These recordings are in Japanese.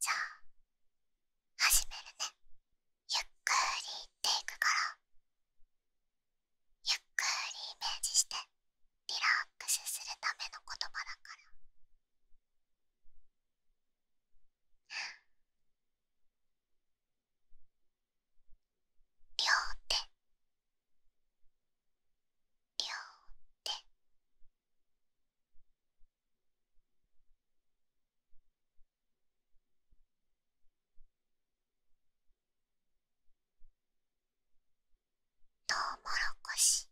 じゃあ始めるねゆっくりていくからゆっくりイメージしてリラックスするための言葉だから両手両手両トウモロコシ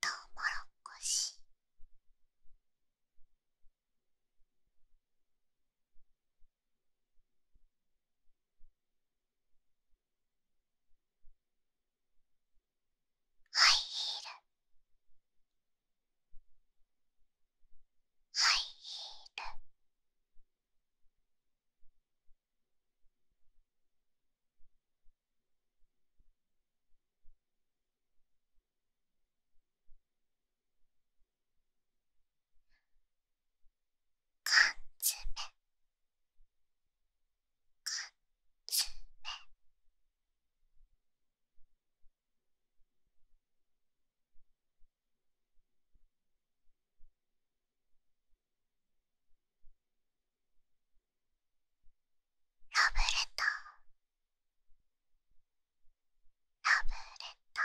トウモロコシハイヒールハイヒール缶詰ラブレターラブレター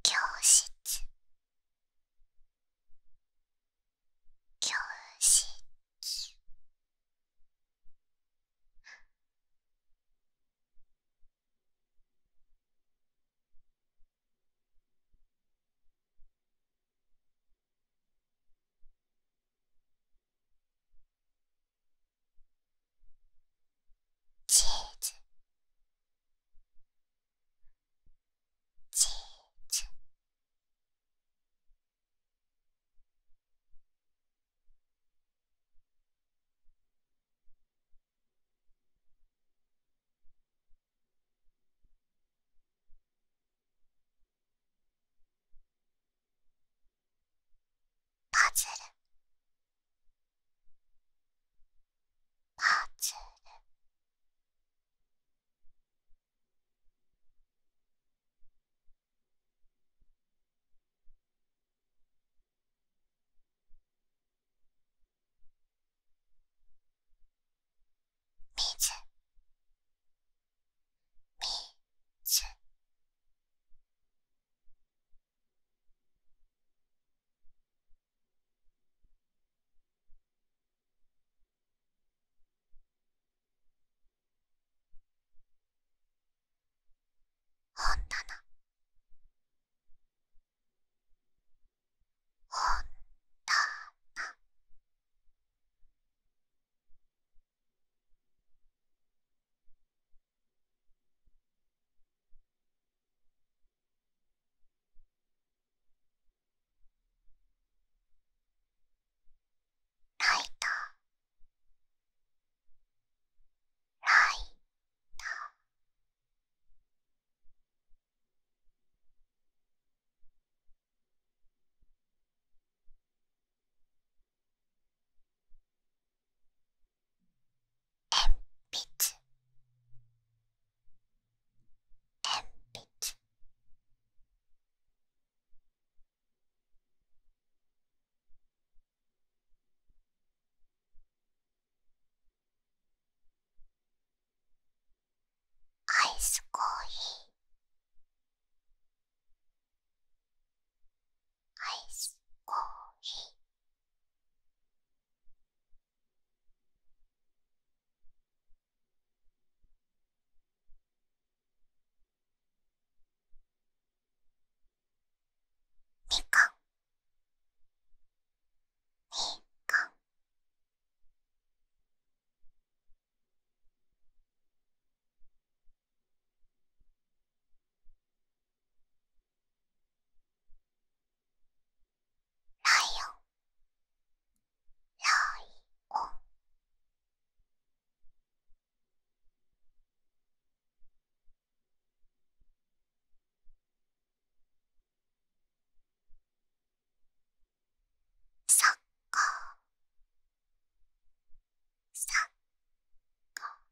教室教室チーズチーズパズルパズル水水本棚本棚ライトライト鉛筆鉛筆アイスコーヒーアイスコーヒーみかんみライオンライオンサッカーサッカー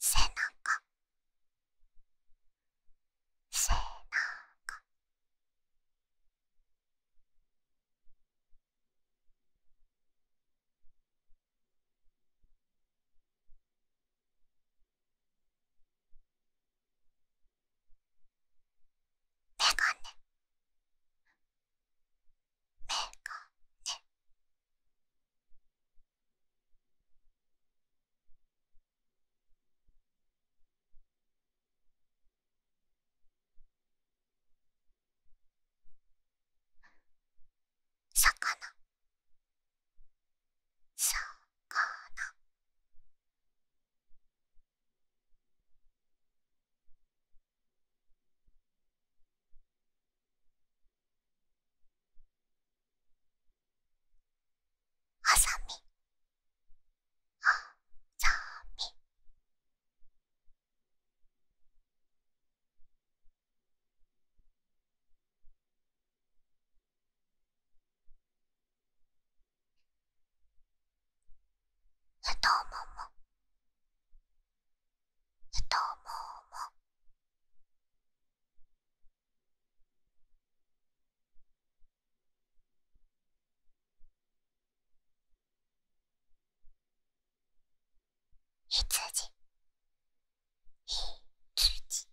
背中背中メガネメガネ魚シャンカーナハサミハサミ太もも太ももひじ車車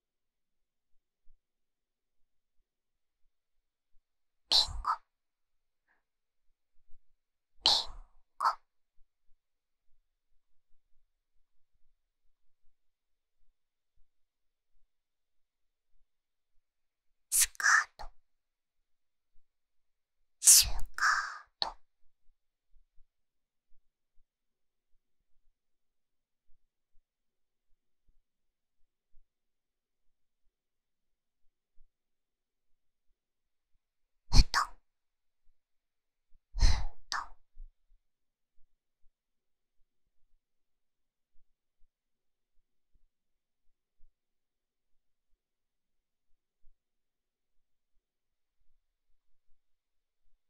リンゴリンゴスカートスカートふとふと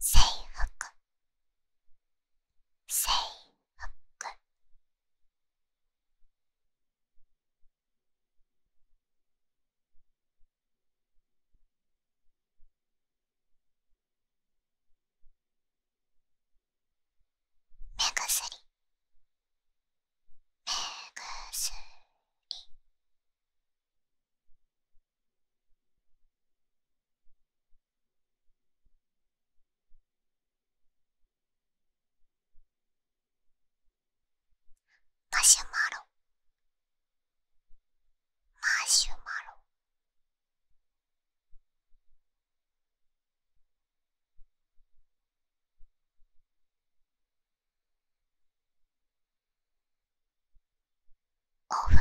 制服制服目薬目薬マシュマロマシュマロお風呂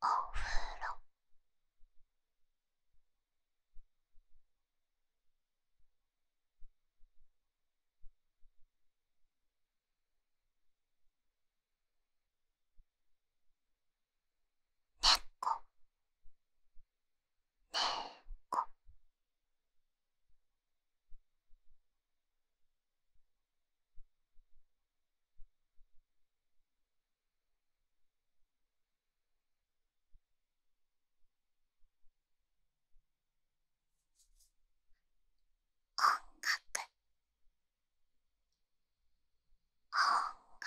お風呂ねねこ、こ…猫猫音楽音楽傘傘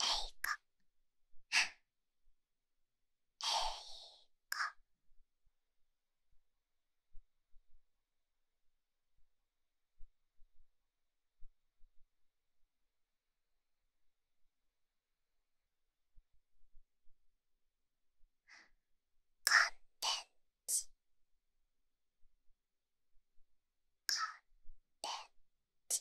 へいか。へいか。乾電池乾電池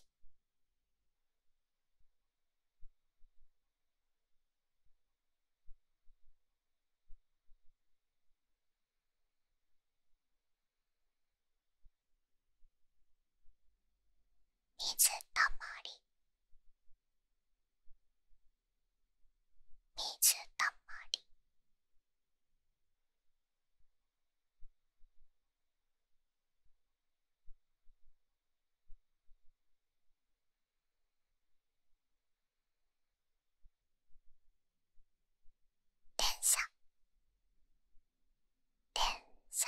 水たまり水たまり電車電車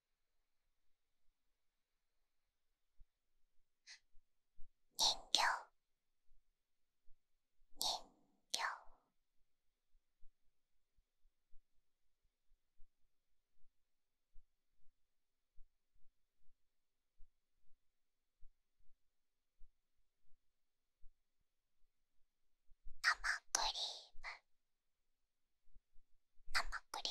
人形人形生クリーム生クリーム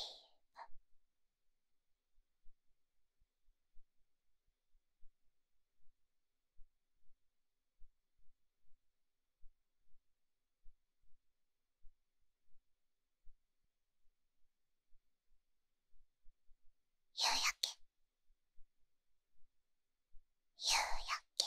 夕焼け夕焼け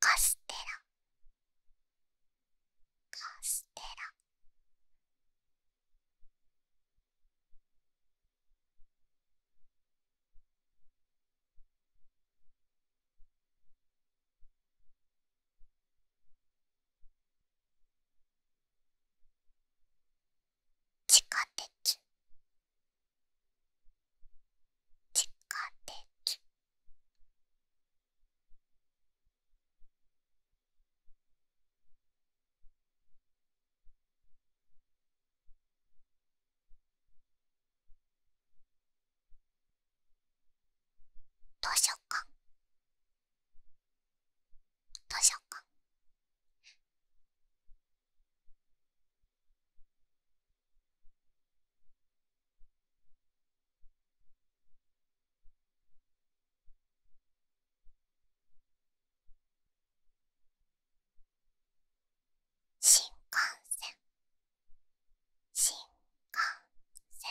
カステラカステラ地下鉄地下鉄図書館どうしよっか。新幹線新幹線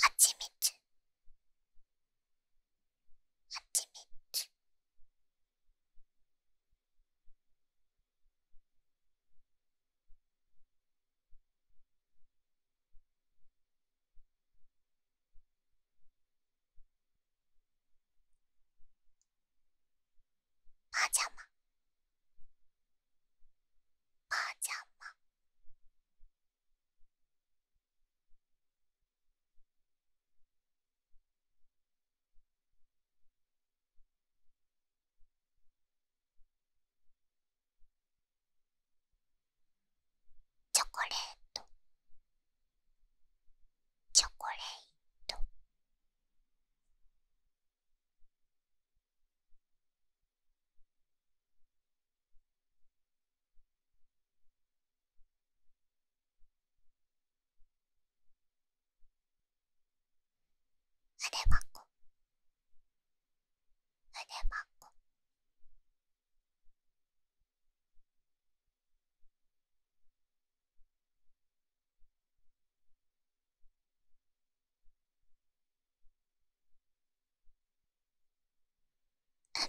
はちみつはちみつばあちゃまばあちゃまチョコレートチョコレートまこ、筆箱まこ…パッ。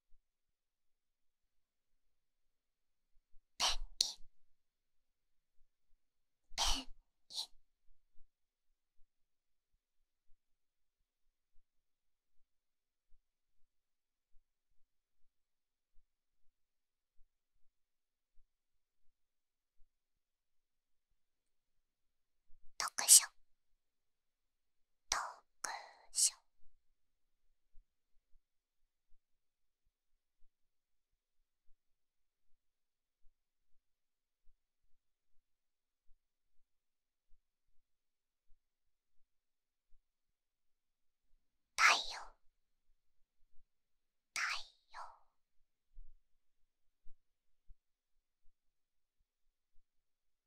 ペンキ…ペンキ…。…読書特賞太陽太陽太陽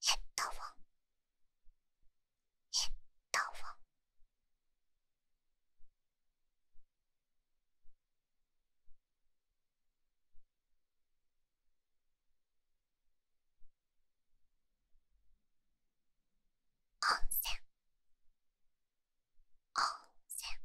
ヘッドフォンヘッドフォン温泉温泉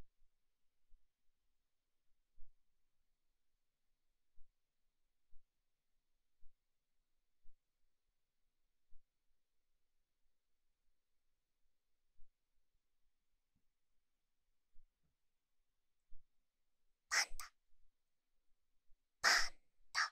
パンダパ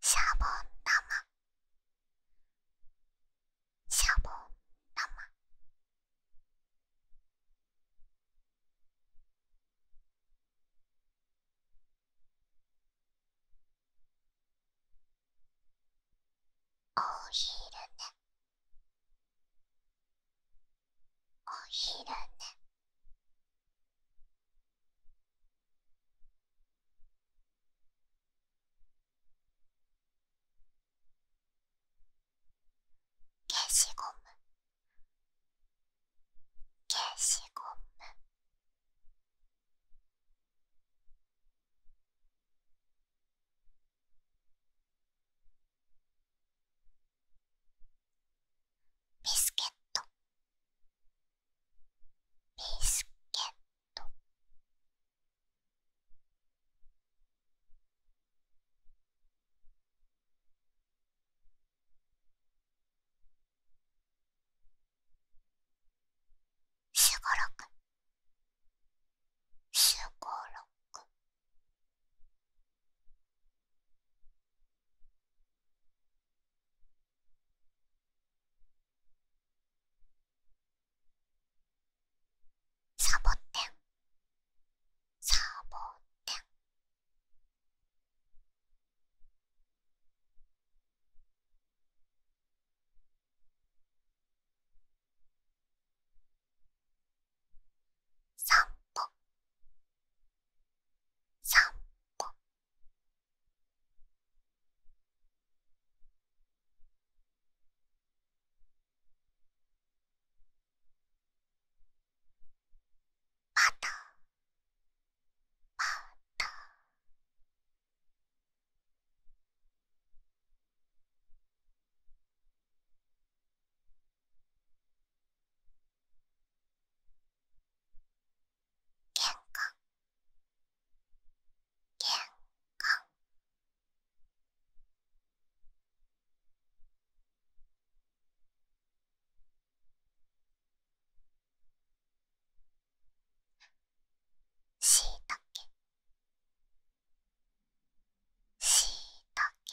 蔵庫冷蔵庫シャボン玉シャボン玉お昼寝お昼寝お消しゴム消しゴムビスケットビスケットしごろくしごろくサボテンサボテン散歩散パタパタ玄関玄関しいたけしいたけ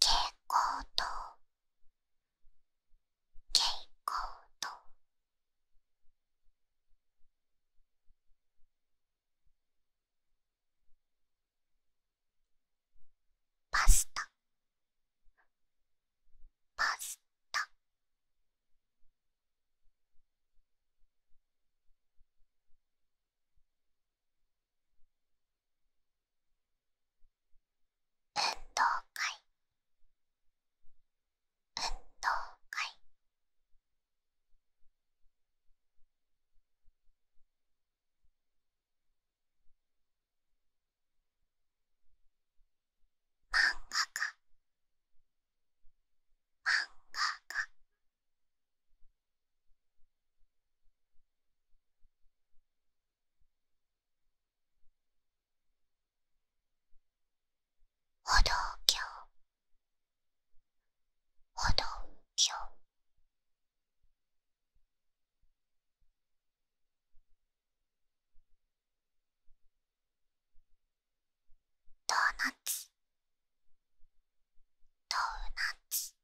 蛍光灯蛍光灯パスタパスタ運動会運動会漫画家漫画家歩道橋歩道橋ドーナツドーナツ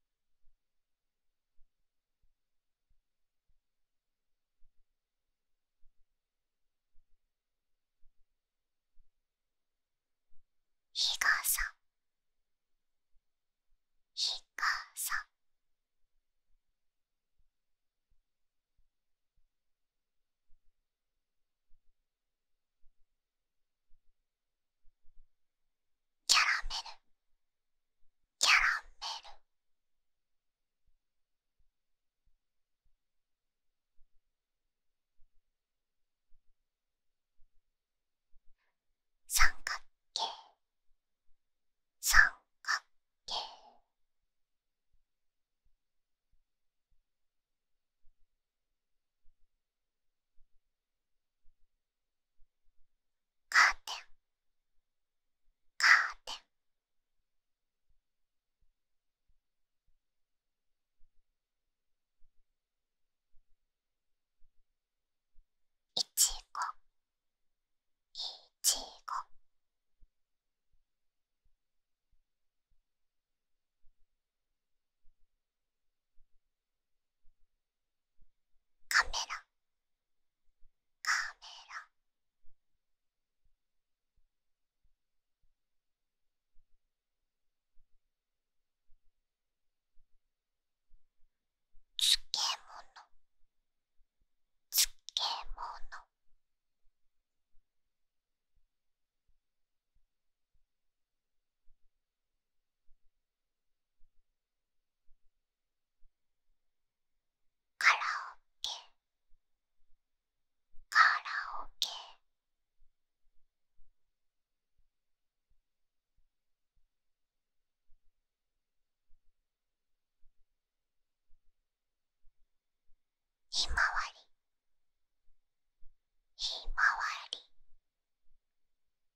日傘日傘日傘キャラメルキャラメル三角形三角形カーテンカーテンいちごいちごカメラカメラつけもの。カラオケカラオケひまわりひまわり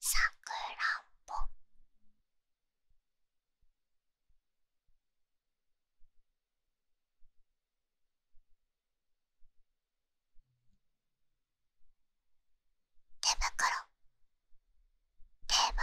さくらんぼぶくろ。手ぶくろ。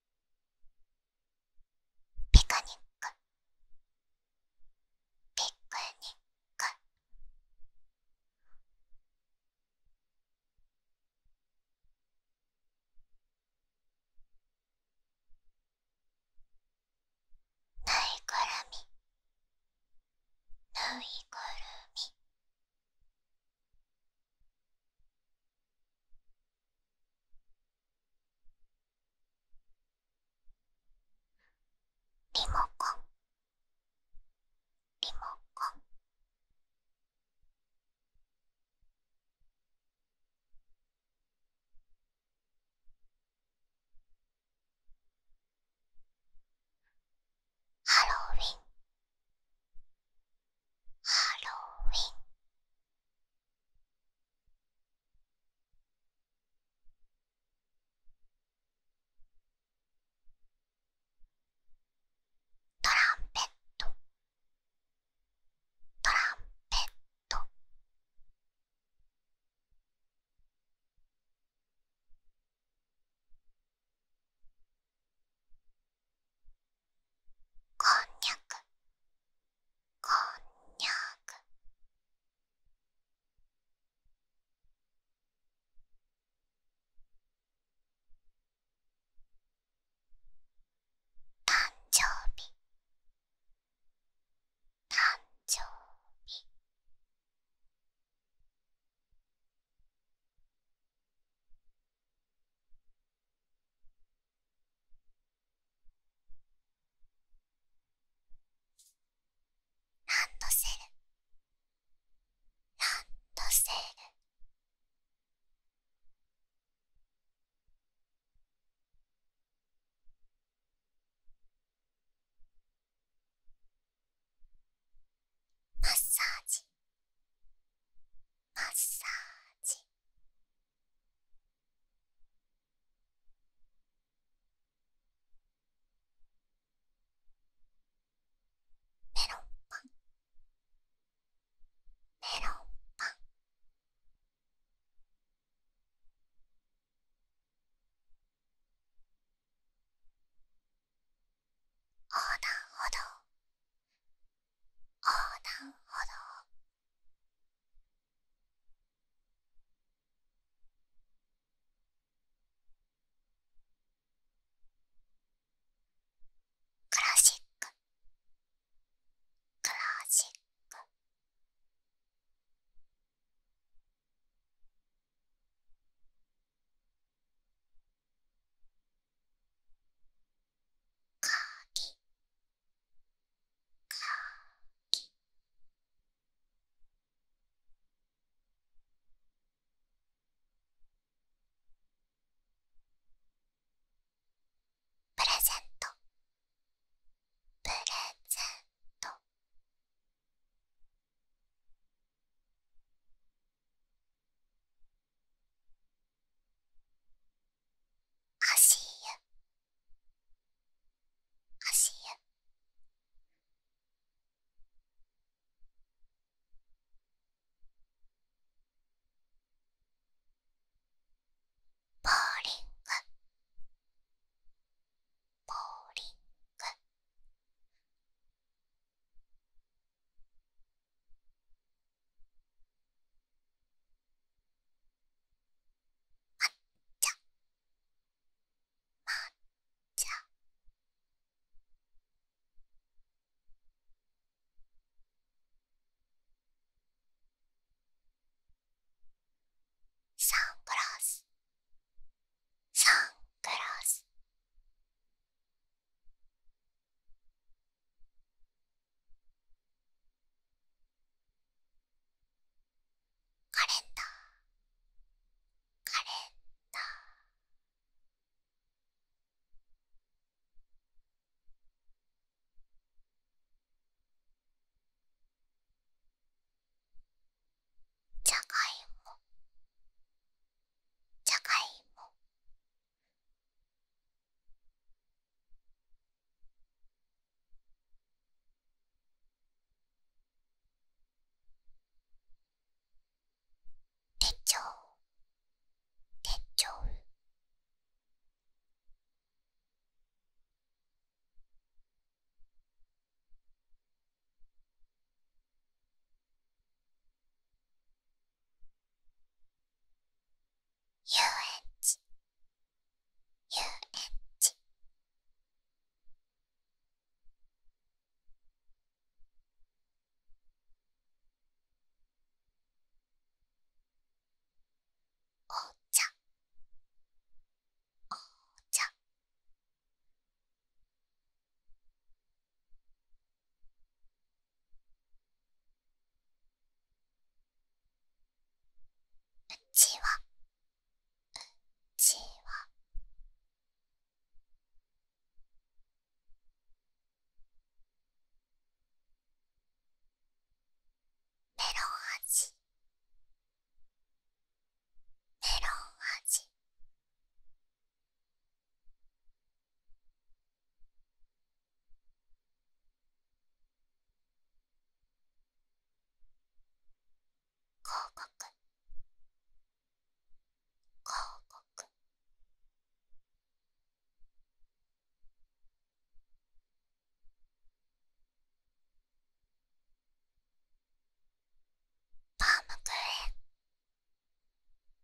ピクニックピクニックぬいぐるみぬいぐるみリモコンリモコンハロウィンハロウィントランペットトランペットこんにゃくこんにゃく誕生日誕生日ランドセルランドセルマッサージマッサージメロンパンメロンパン横断歩道横断歩道クラシッククラシックかぎプレゼントプレゼント足湯足湯ボーリングボーリング抹茶抹茶サングラスサングラスカレンダーカレンダーじゃがいもじゃがいも手帳手帳遊園地遊園地お茶お茶うちはうちはメロン味メロン味広告広告パームクーヘン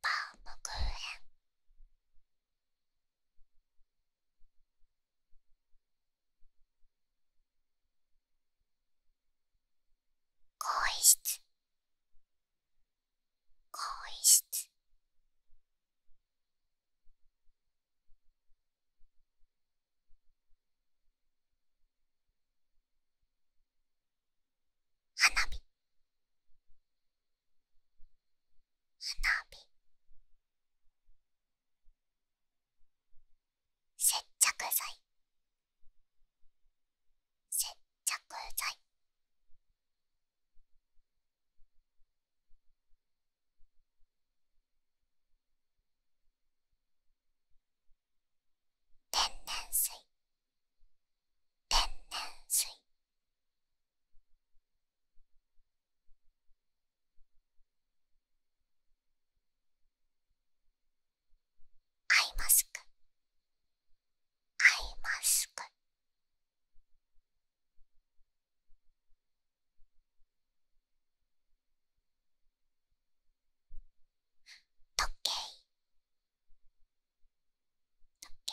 パームクーヘン更衣室更室花火花火接着剤接着剤天然水天然水アイマスクアイマスク時計時計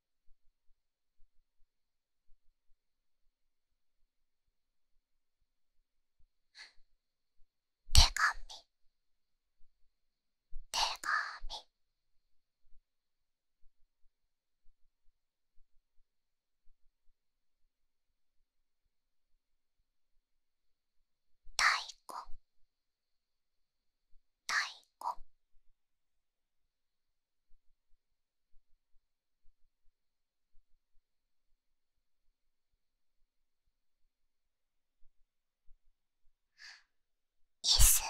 手紙手紙太鼓太鼓イス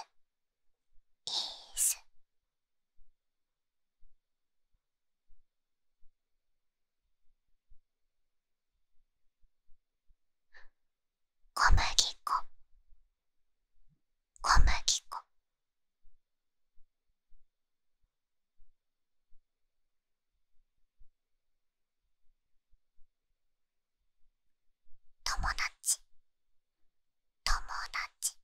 イス小麦粉小麦粉友達友達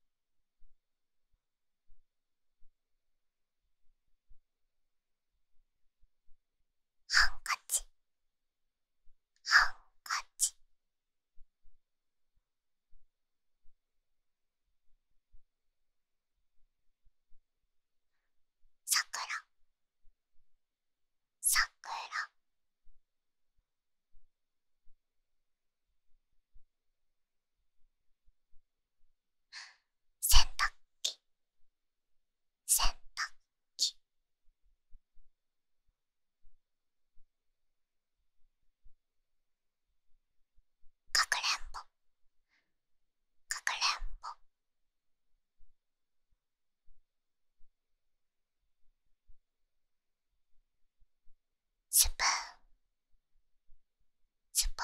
ハンカチハンカチさくらさくらせんたくきせんたくき。かくれんぼかくれんぼスプーンスプーン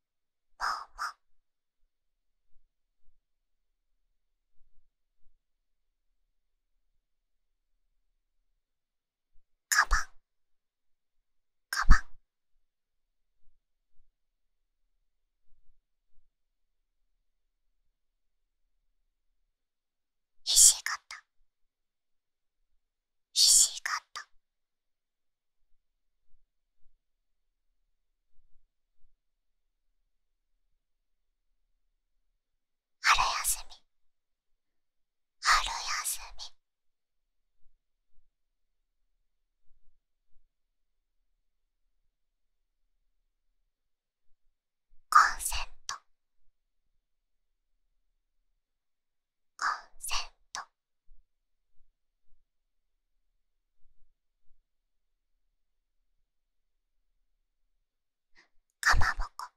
ももカバンカバンひしがったひしが春休み春休みコンセントコンセントかまぼこ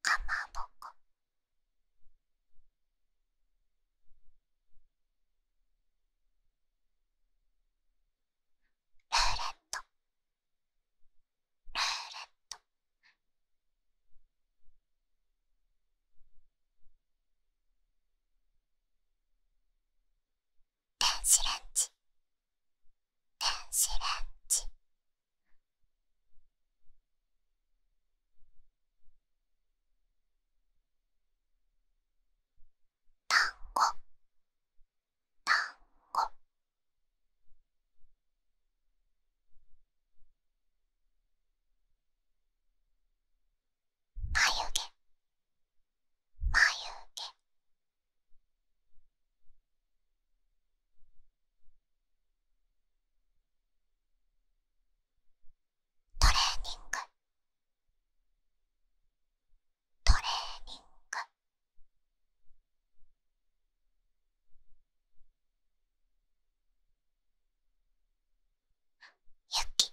かまぼこルーレットルーレット電子レンジ電子レンジ単語単語眉毛眉毛トレーニングトレーニング雪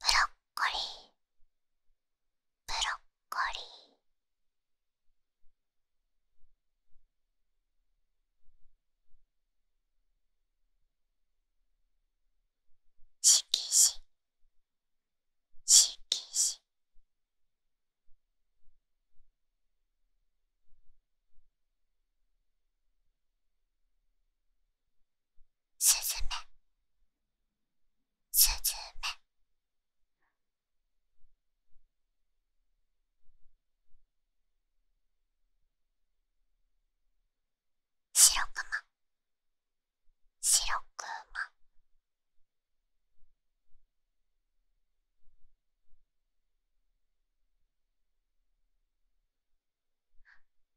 ブロッコリーブロッコリー色紙色紙すずめすずめ白くま白くま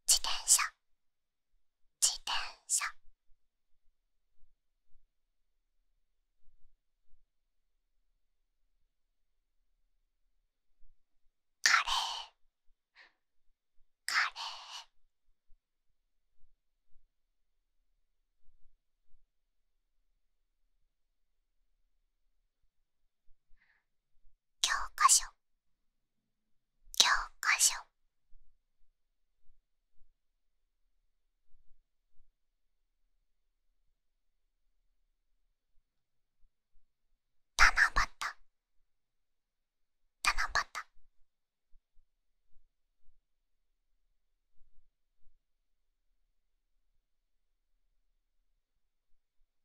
自転車自転車カレーカレー教科書教科書七夕七夕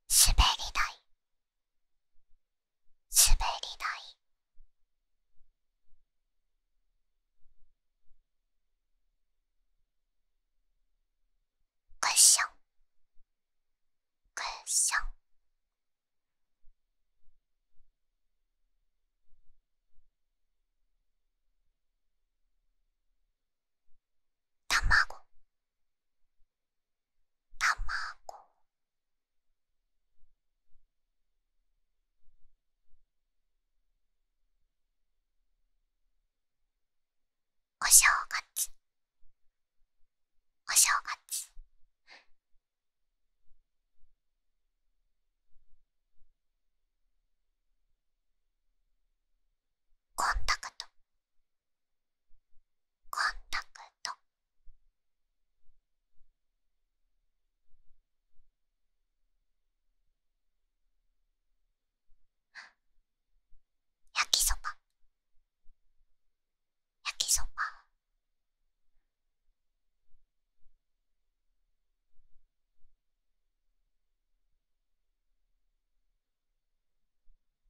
滑り台滑り台クッションクッションたたまご、まご…おしょうが月おしょうが月コンタクトコンタクト焼きそば焼きそば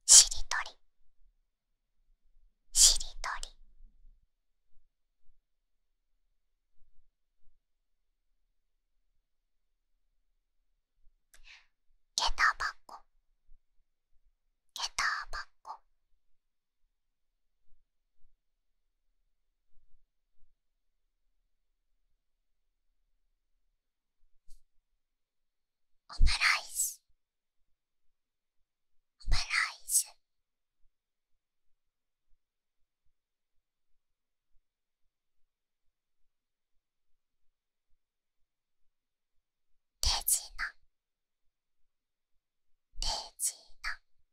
しりとりしりとりげたばこげたばこオムライスオムライスデジナデジナ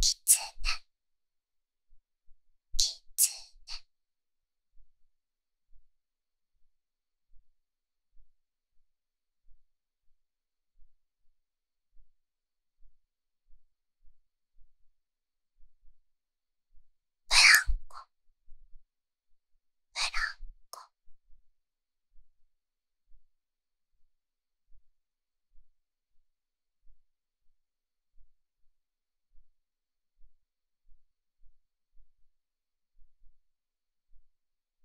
きつねきつねブランコブランコ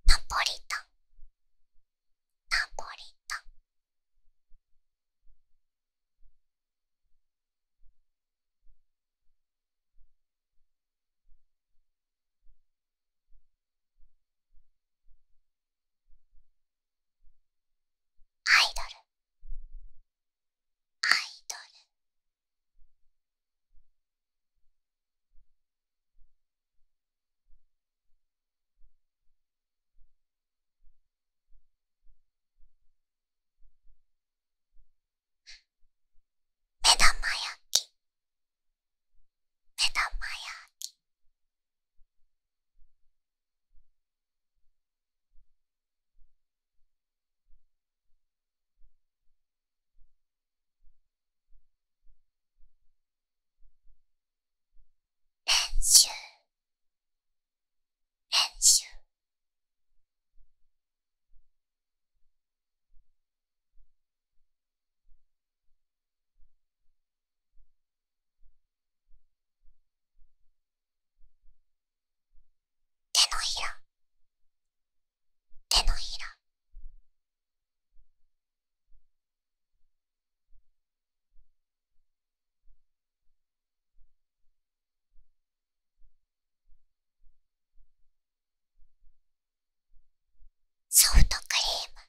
ナポリタンナポリタンアイドルアイドル目玉焼き目玉焼き練習練習手のひら手のひらソフトクリーム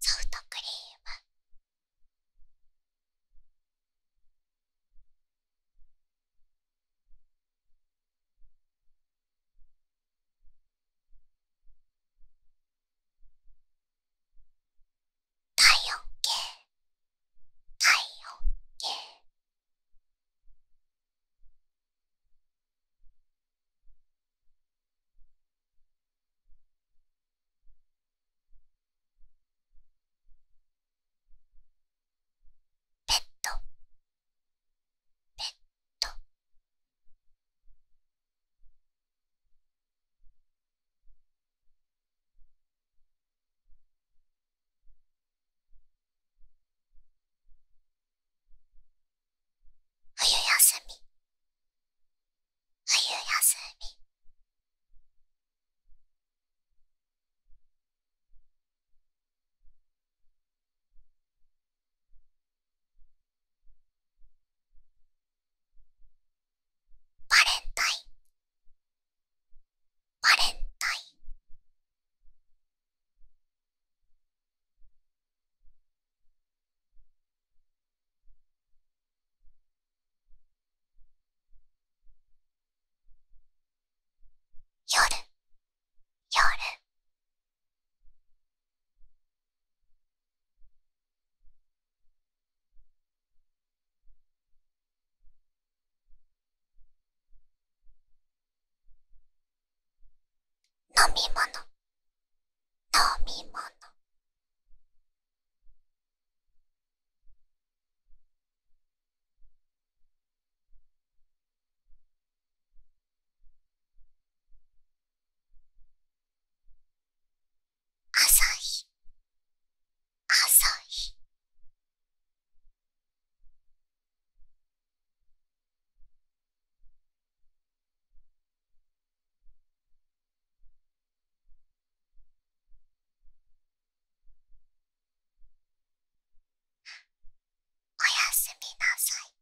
ソフトクリーム体温計体温計ペット…ペット…冬休み冬休みバレンタインバレンタイン夜夜飲み物飲み物朝日朝日おやすみなさい。